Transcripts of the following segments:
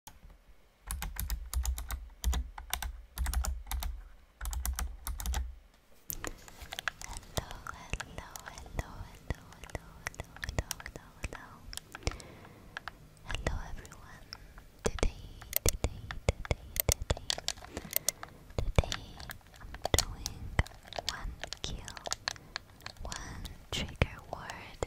hello, hello, hello, hello, hello, hello, hello. Hello everyone. Today, today, today, today. Today I'm doing one kill, one trigger word.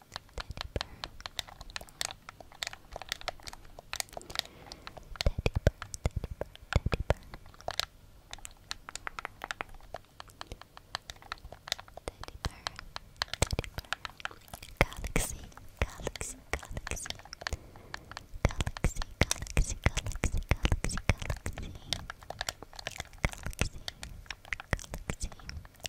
Galaxy, galaxy, galaxy, galaxy, galaxy, galaxy, galaxy, galaxy, galaxy, galaxy,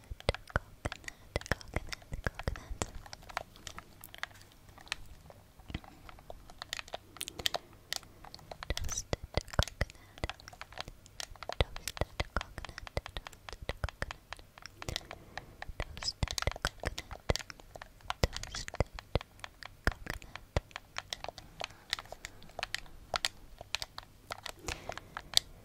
coconut, coconut, coconut. Toasted coconut, toasted coconut, toasted coconut, toasted coconut, toasted coconut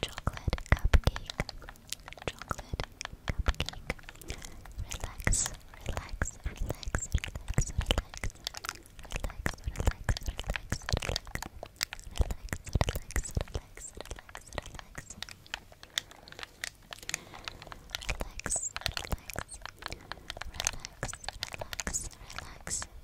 Chocolate cupcake. Chocolate cupcake. Relax, relax, relax, relax, relax. Relax, relax, relax, relax. Relax, relax, relax, relax, relax.